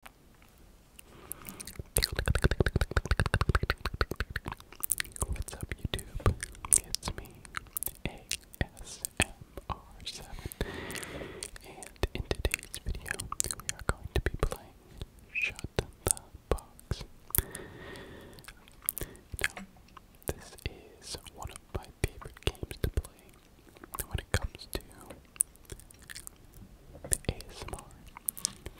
What's up, YouTube? It's me, ASMR7, and in today's video, we are going to be playing Shut the Box. this is one of my favorite games to play when it comes to ASMR.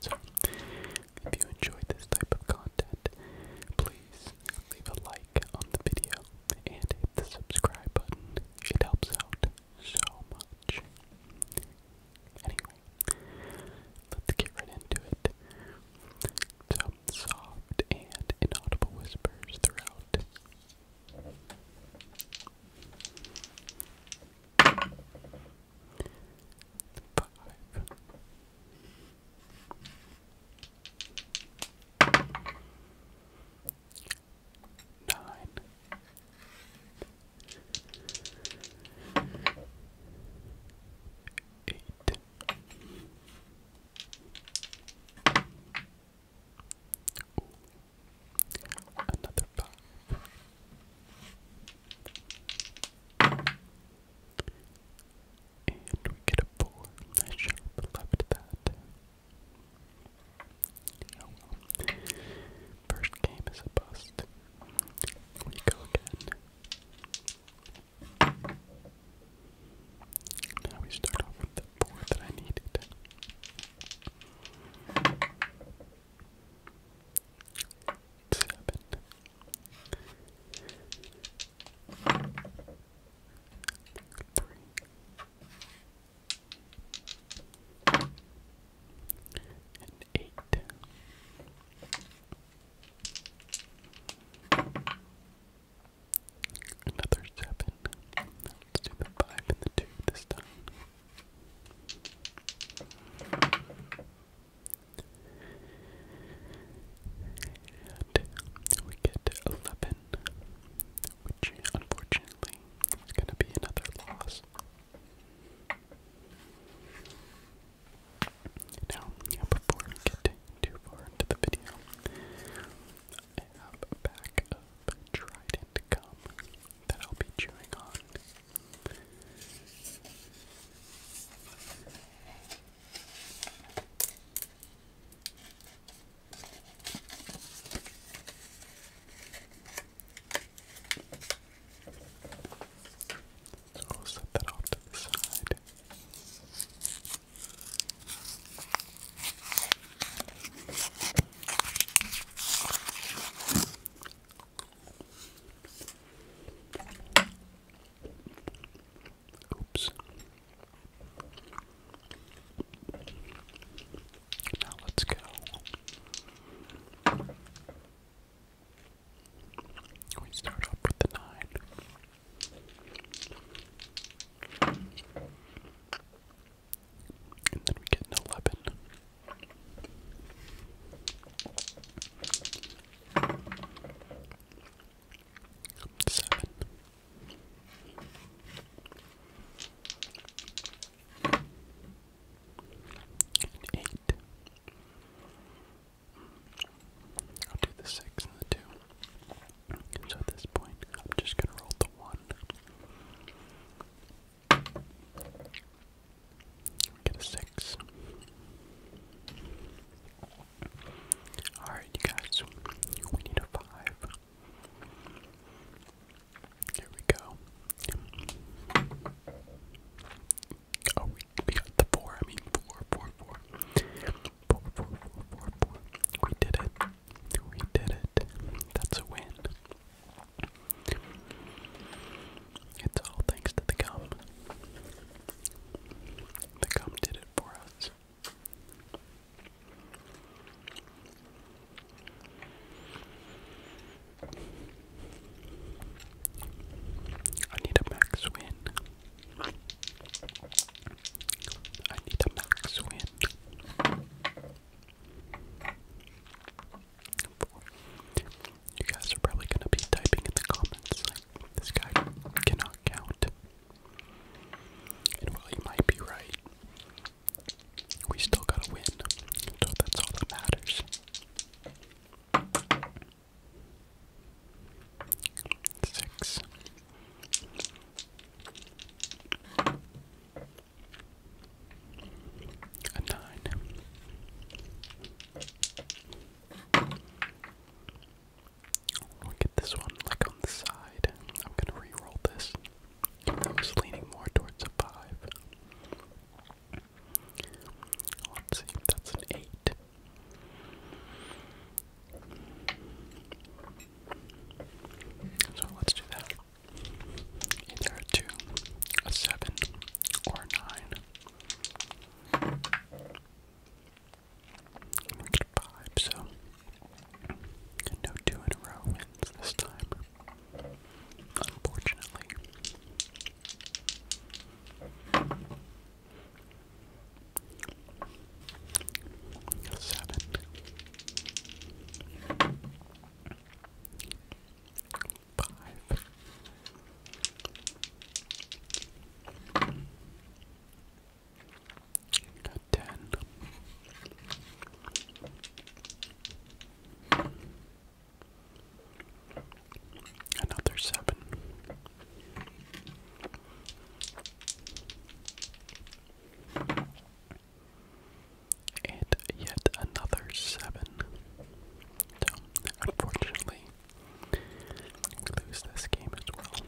So, if you enjoy this type of content, please leave a like on the video and hit the subscribe button. It helps out so much. Anyway, let's get right into it. Some soft and inaudible whispers throughout. Five. Nine. Eight. Ooh, Another five. And we get a four. I should have left that. Oh, First game is a bust. We go again. Now we start off with the four that I needed seven, three, and eight. Another seven. Let's do the five and the two this time. And we get eleven, which unfortunately is going to be another loss. Now, before we get too far into the video, I have a pack of Trident gum that I'll be chewing on. So I'll set that off to the side. Oops. Now let's go. We start off with the nine. And then we get an 11. 7. 8. I'll do the 6 and the 2. So at this point, I'm just going to roll the 1. Get a six. Alright, you guys, we need a five. Here we go. Oh, we, we got the four. I mean, four, four, four. Four, We did it. We did it. That's a win. It's all thanks to the gum. The gum did it for us. I need a max win. I need a max win. You guys are probably gonna be typing in the comments this guy cannot count. And while you might be right, we still gotta win. So that's all that matters. Six. A nine. get this one like on the side. I'm gonna re-roll this. I was leaning more towards a five. Let's see, that's an eight. So let's do that. Either a 2, a 7, or 9. And 5, so no 2 in a row wins this time. Unfortunately. Seven, Five. ten. Another seven and yet another seven. So, unfortunately, lose this game as well.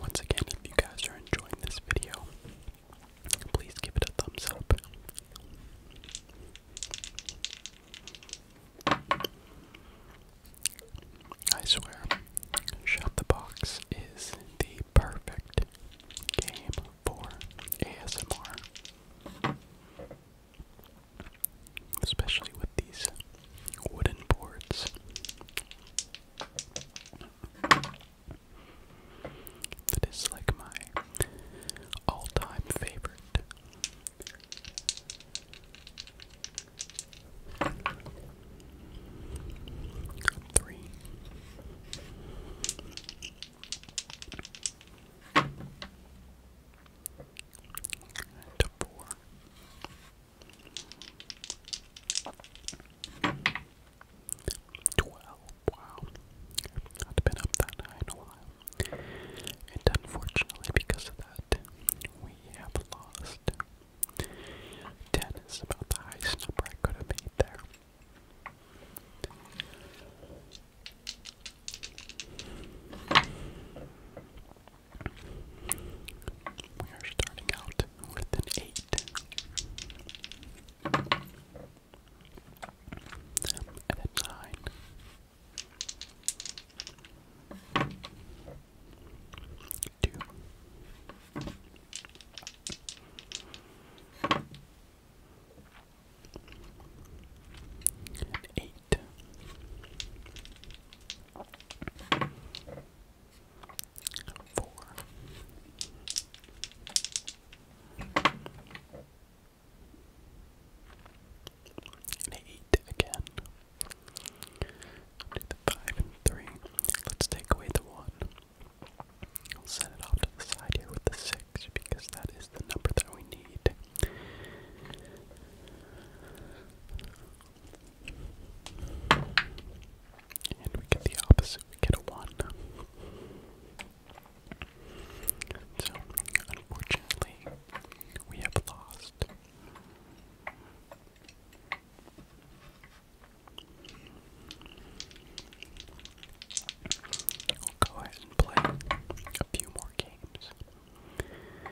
Once again, if you guys are enjoying this video, please give it a thumbs up. I swear, Shop the Box is the perfect game for ASMR. Especially with these wooden boards. That is like my all time favorite. Three. To Wow. i been up that high in a while. And unfortunately because of that, we have lost Ten is about the highest number I could have made there. We are starting out with an eight. and a nine do. again. Do the five and three. Let's take away the one. I'll set it off to the side here with the 6 because that is the number that we need. And we get the opposite, we get a 1. So, unfortunately, we have lost. We'll go ahead and play a few more games. Five.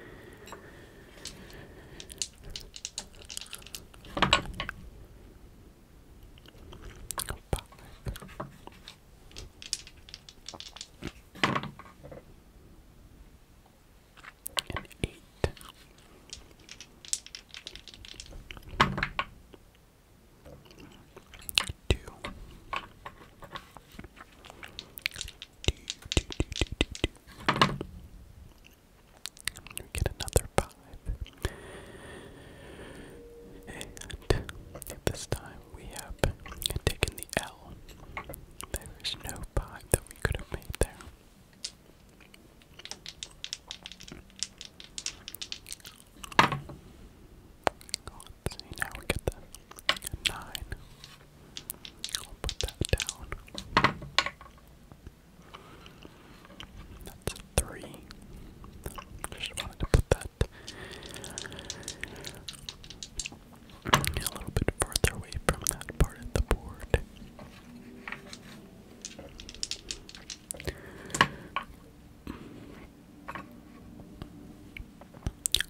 An eight. Two. Do, And this time we have taken the L. There is no five that we could have made there. Let's see, now we get the nine. I'll put that down. That's a three. Just wanted to put that a little bit farther away from that part of the board.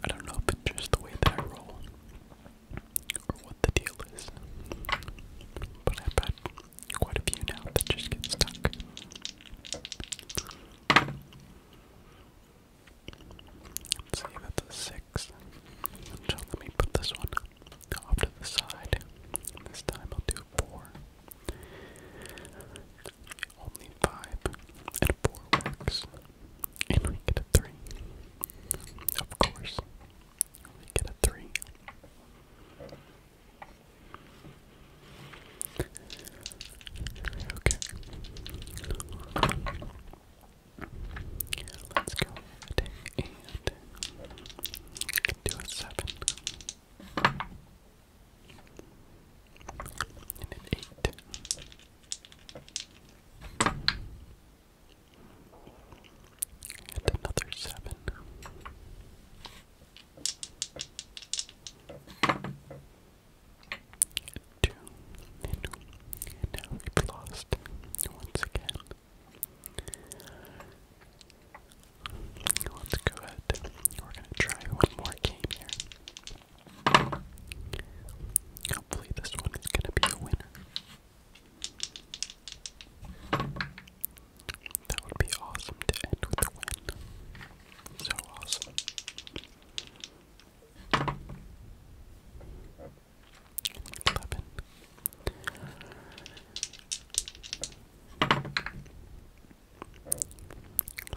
I don't know if it's just the way that I roll or what the deal is, but I've had quite a few now that just get stuck. Let's see, that's a six. let me put this one off to the side. This time I'll do four. Only five and four works. And we get a three. Of course. We get a three. Okay. Let's go ahead and do a seven. And an eight. And another seven. two. and now we've lost once again. Let's go ahead. We're gonna try one more game here. Hopefully, this one is gonna be a winner. That would be awesome to end with a win. So awesome. Eleven.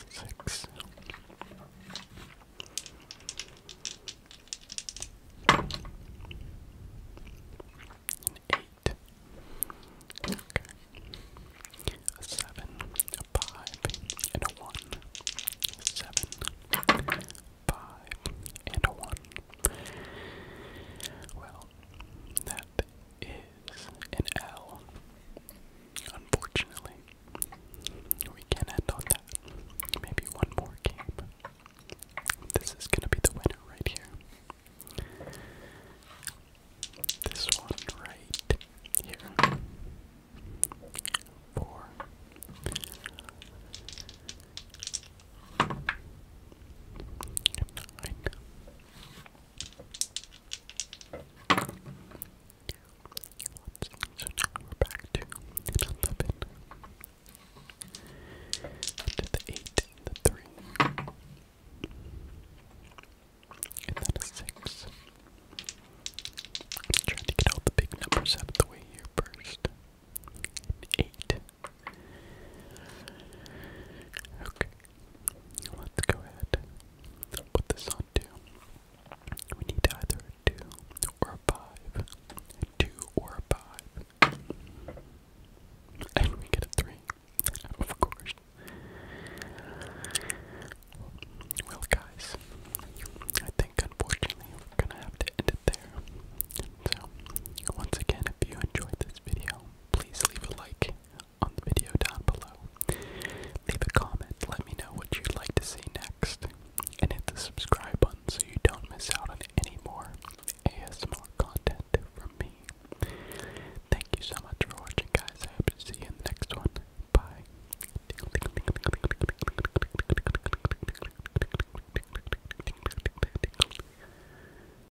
Six. And A one. seven, five, and a one. Well, that is an L. Unfortunately, we can end on that. Maybe one more game. This is gonna be the winner right here. This one right here. Four. Nine. So now we're back to 11. To the 8 the 3. And then a 6. trying to get all the big numbers out of the way here first. 8. Okay. Let's go ahead put this on two. We need either two or five. two or five. And we get a three. Of course. Well, guys, I think unfortunately we're gonna have to end it there. So, once again, if you enjoyed this video, please leave a like on the video down below. Leave a comment, let me know what you'd like to see next, and hit the subscribe button so you don't miss out on any more ASMR content from me. Thank you so much for watching, guys. I hope to see you next one. Bye.